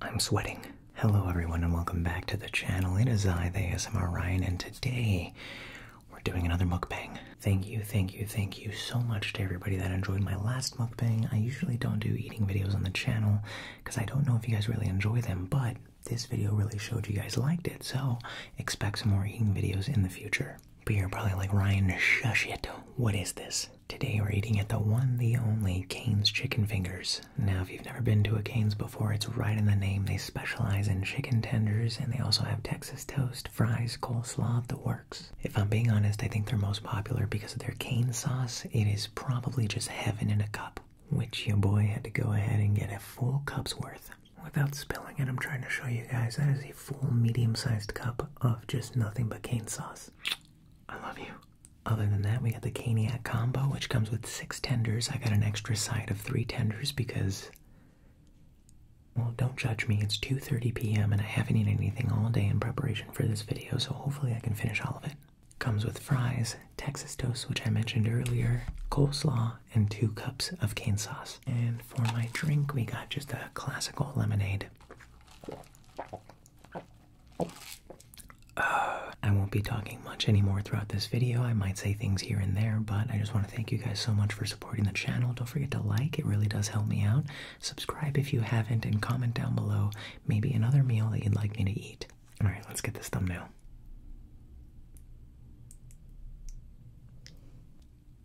I'm sweating. Hello everyone and welcome back to the channel. It is I, the ASMR Ryan, and today we're doing another mukbang. Thank you, thank you, thank you so much to everybody that enjoyed my last mukbang. I usually don't do eating videos on the channel because I don't know if you guys really enjoy them, but this video really showed you guys liked it, so expect some more eating videos in the future. But you're probably like, Ryan, shush it. What is this? Today we're eating at the one, the only Cane's Chicken Fingers. Now, if you've never been to a Cane's before, it's right in the name. They specialize in chicken tenders and they also have Texas toast, fries, coleslaw, the works. If I'm being honest, I think they're most popular because of their cane sauce. It is probably just heaven in a cup, which your boy had to go ahead and get a full cup's worth. Without spilling it, I'm trying to show you guys that is full medium-sized cup of just nothing but cane sauce. I love you. Other than that, we got the caniac combo, which comes with six tenders. I got an extra side of three tenders because, well, don't judge me. It's 2.30 p.m. and I haven't eaten anything all day in preparation for this video, so hopefully I can finish all of it. Comes with fries, Texas toast, which I mentioned earlier, coleslaw, and two cups of cane sauce. And for my drink, we got just a classical lemonade. Uh, I won't be talking much anymore throughout this video. I might say things here and there, but I just want to thank you guys so much for supporting the channel. Don't forget to like, it really does help me out. Subscribe if you haven't, and comment down below maybe another meal that you'd like me to eat. Alright, let's get this thumbnail.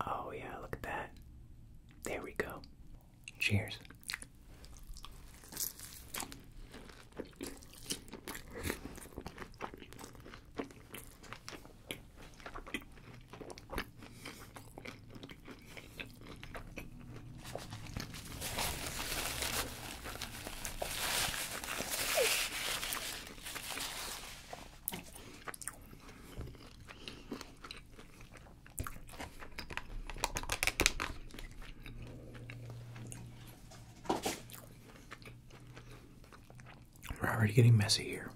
Oh, yeah, look at that. There we go. Cheers. We're already getting messy here.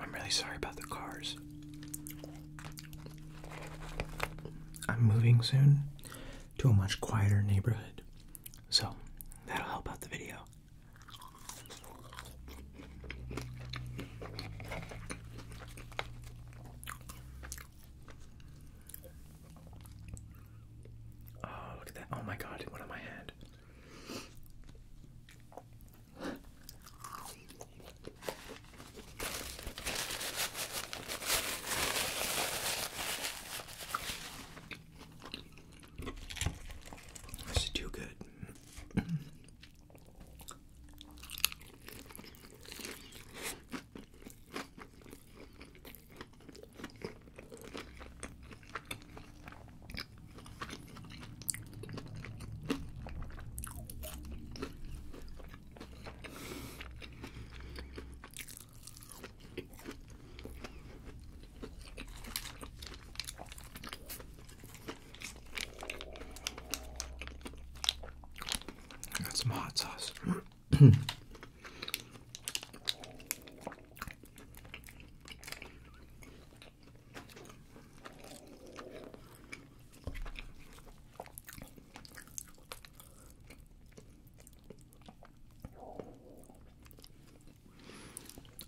I'm really sorry about the cars. I'm moving soon to a much quieter neighborhood, so that'll help out the video. Oh, look at that. Oh my god, what on my hand? This is too good. I Got some hot sauce.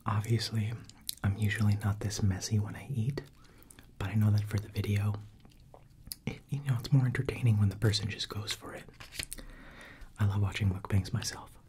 Obviously, I'm usually not this messy when I eat, but I know that for the video, you know, it's more entertaining when the person just goes for it. I love watching mukbangs myself.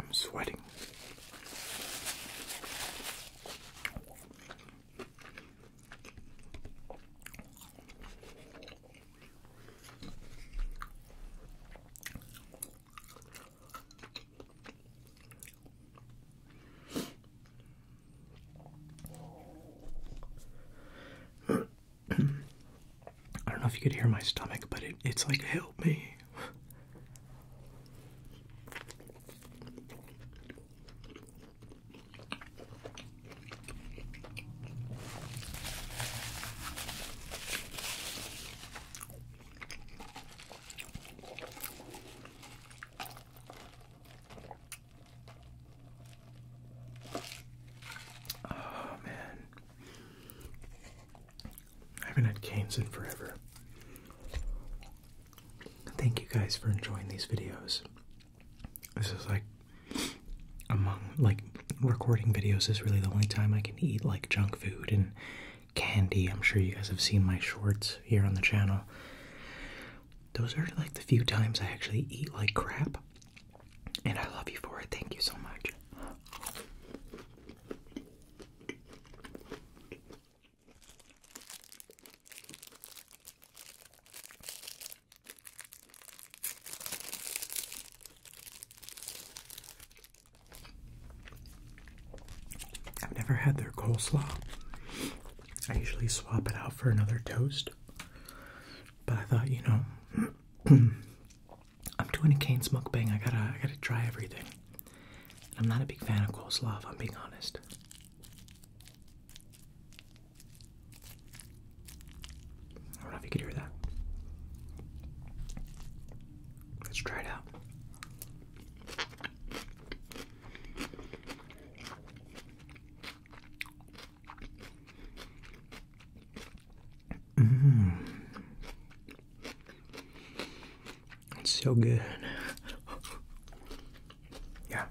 I'm sweating. I don't know if you could hear my stomach, but it, it's like, help me. Oh man. I haven't had canes in forever. Thank you guys for enjoying these videos. This is like among like recording videos is really the only time I can eat like junk food and candy. I'm sure you guys have seen my shorts here on the channel those are like the few times I actually eat like crap. And I love you for it. Thank you so much. I've never had their coleslaw. I usually swap it out for another toast. But I thought, you know, I'm doing a Cane's mukbang. I gotta, I gotta try everything. I'm not a big fan of coleslaw, I'm being honest. I don't know if you could hear that. Let's try it out. Mm. It's so good. yeah,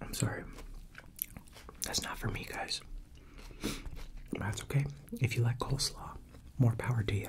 I'm sorry. That's not for me, guys. That's okay. If you like coleslaw, more power to you.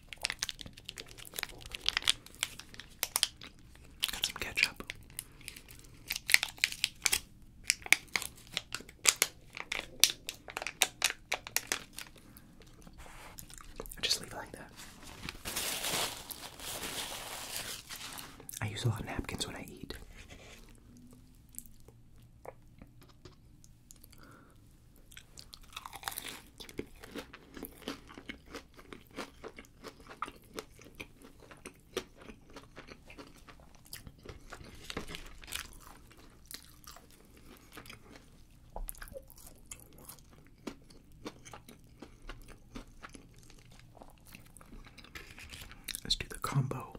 Got some ketchup. I just leave it like that. I use a lot of napkins when I eat. Let's do the combo.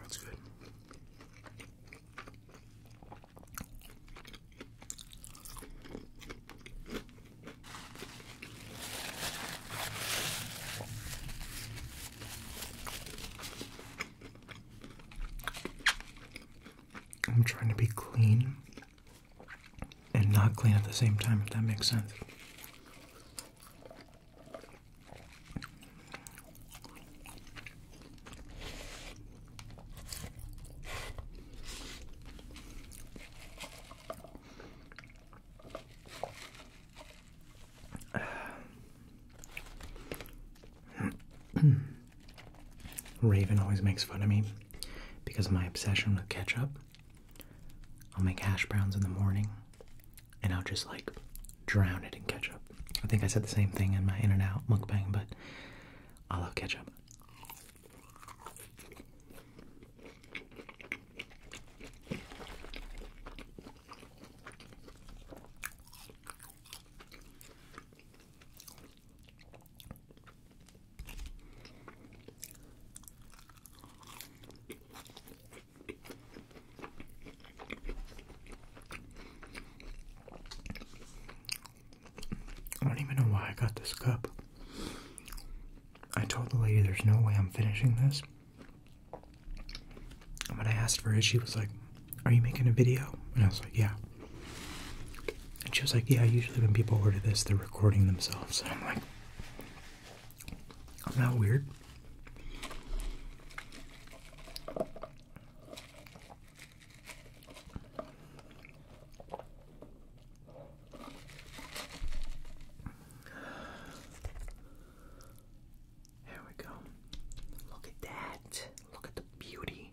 That's good. I'm trying to be clean and not clean at the same time, if that makes sense. Raven always makes fun of me because of my obsession with ketchup. I'll make hash browns in the morning and I'll just like drown it in ketchup. I think I said the same thing in my In and Out mukbang, but I love ketchup. I don't even know why I got this cup. I told the lady there's no way I'm finishing this. And when I asked for it, she was like, Are you making a video? And I was like, Yeah. And she was like, Yeah, usually when people order this, they're recording themselves. And I'm like, I'm not weird. There we go. Look at that. Look at the beauty.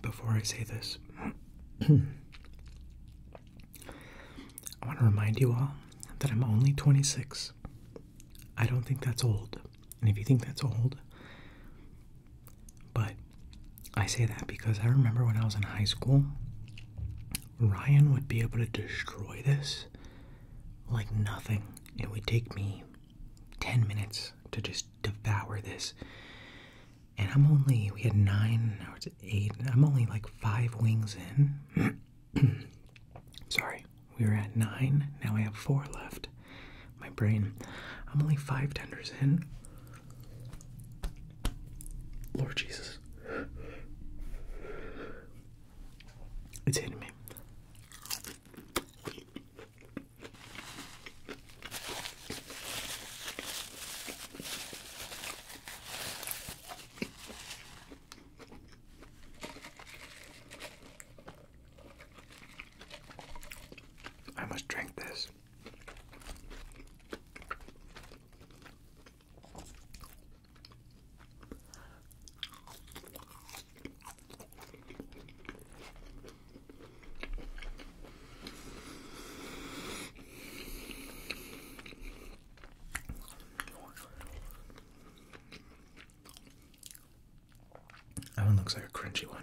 Before I say this, I want to remind you all that I'm only 26. I don't think that's old. And if you think that's old, but I say that because I remember when I was in high school, Ryan would be able to destroy this like nothing. It would take me 10 minutes to just devour this. And I'm only, we had nine or eight, I'm only like five wings in. Sorry, we were at nine, now I have four left. My brain, I'm only five tenders in. Lord Jesus. It's hitting me. I must drink this. That one looks like a crunchy one.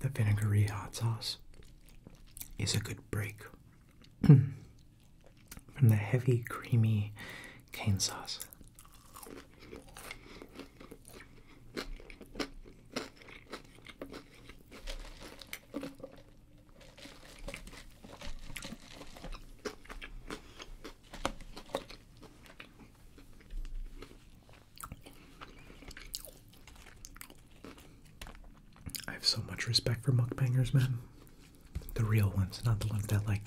The vinegary hot sauce is a good break from the heavy, creamy cane sauce. I have so much respect for mukbangers, man. The real ones, not the ones that like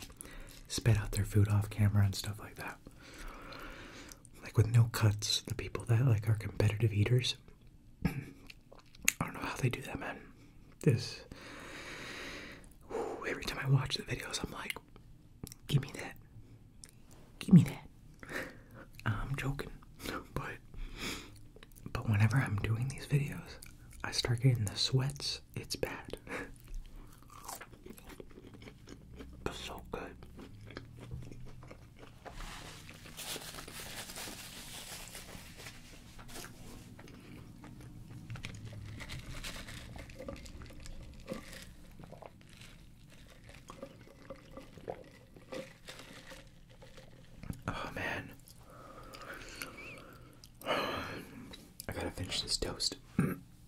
spit out their food off camera and stuff like that. Like with no cuts, the people that like are competitive eaters. I don't know how they do that, man. This. every time I watch the videos, I'm like, give me that. Give me that. I'm joking, but but whenever I'm doing these videos, I start getting the sweats. It's bad. so good. Oh man. I gotta finish this toast.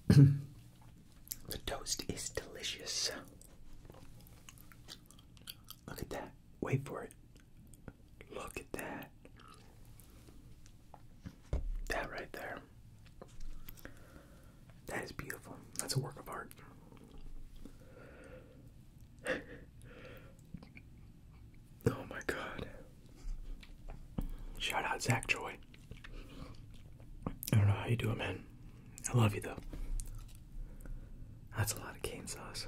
the toast is delicious. Look at that. Wait for it. Look at that. That right there. That is beautiful. That's a work of art. oh my god. Shout out Zach Joy. I don't know how you do it, man. I love you though. That's a lot of cane sauce.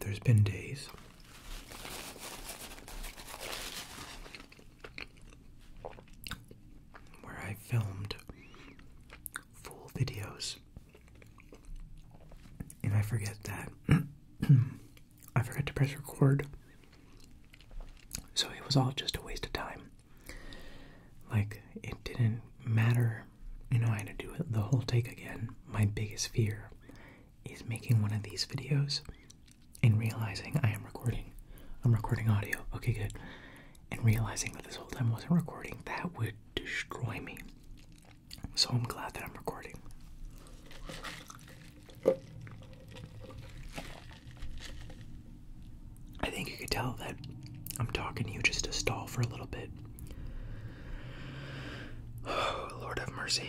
There's been days where I filmed full videos and I forget that. I forgot to press record. So it was all just a waste of time. Like, it didn't matter. You know, I had to do the whole take again. My biggest fear is making one of these videos and realizing I am recording. I'm recording audio. Okay, good. And realizing that this whole time I wasn't recording, that would destroy me. So I'm glad that I'm recording. I think you could tell that I'm talking to you just to stall for a little bit. Oh, Lord have mercy.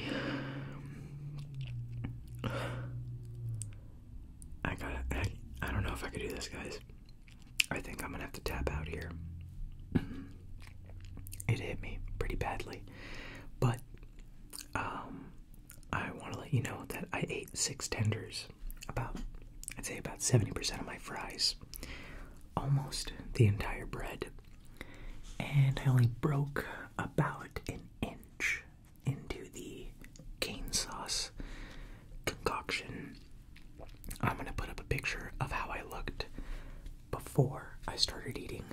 I got I, don't know if I could do this, guys. I think I'm gonna have to tap out here. it hit me pretty badly. But, um, I want to let you know that I ate six tenders. About, I'd say about 70% of my fries. Almost the entire bread and I only broke about an inch into the cane sauce concoction. I'm going to put up a picture of how I looked before I started eating.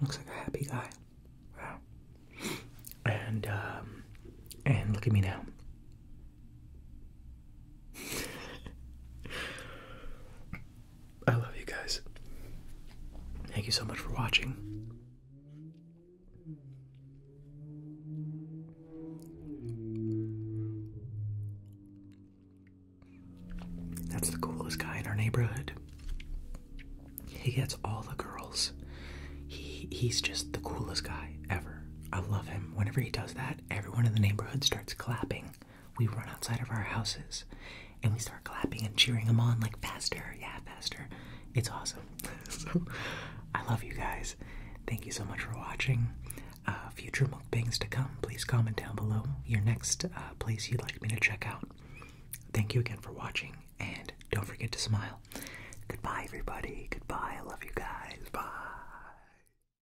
Looks like a happy guy. Wow. And um, and look at me now. I love you guys. Thank you so much for watching. That's the coolest guy in our neighborhood. He gets all the girls. He he's just the coolest guy ever. I love him. Whenever he does that, everyone in the neighborhood starts clapping we run outside of our houses and we start clapping and cheering them on like faster, yeah, faster. It's awesome. I love you guys. Thank you so much for watching. Uh, future mukbangs to come, please comment down below your next uh, place you'd like me to check out. Thank you again for watching, and don't forget to smile. Goodbye, everybody. Goodbye. I love you guys. Bye.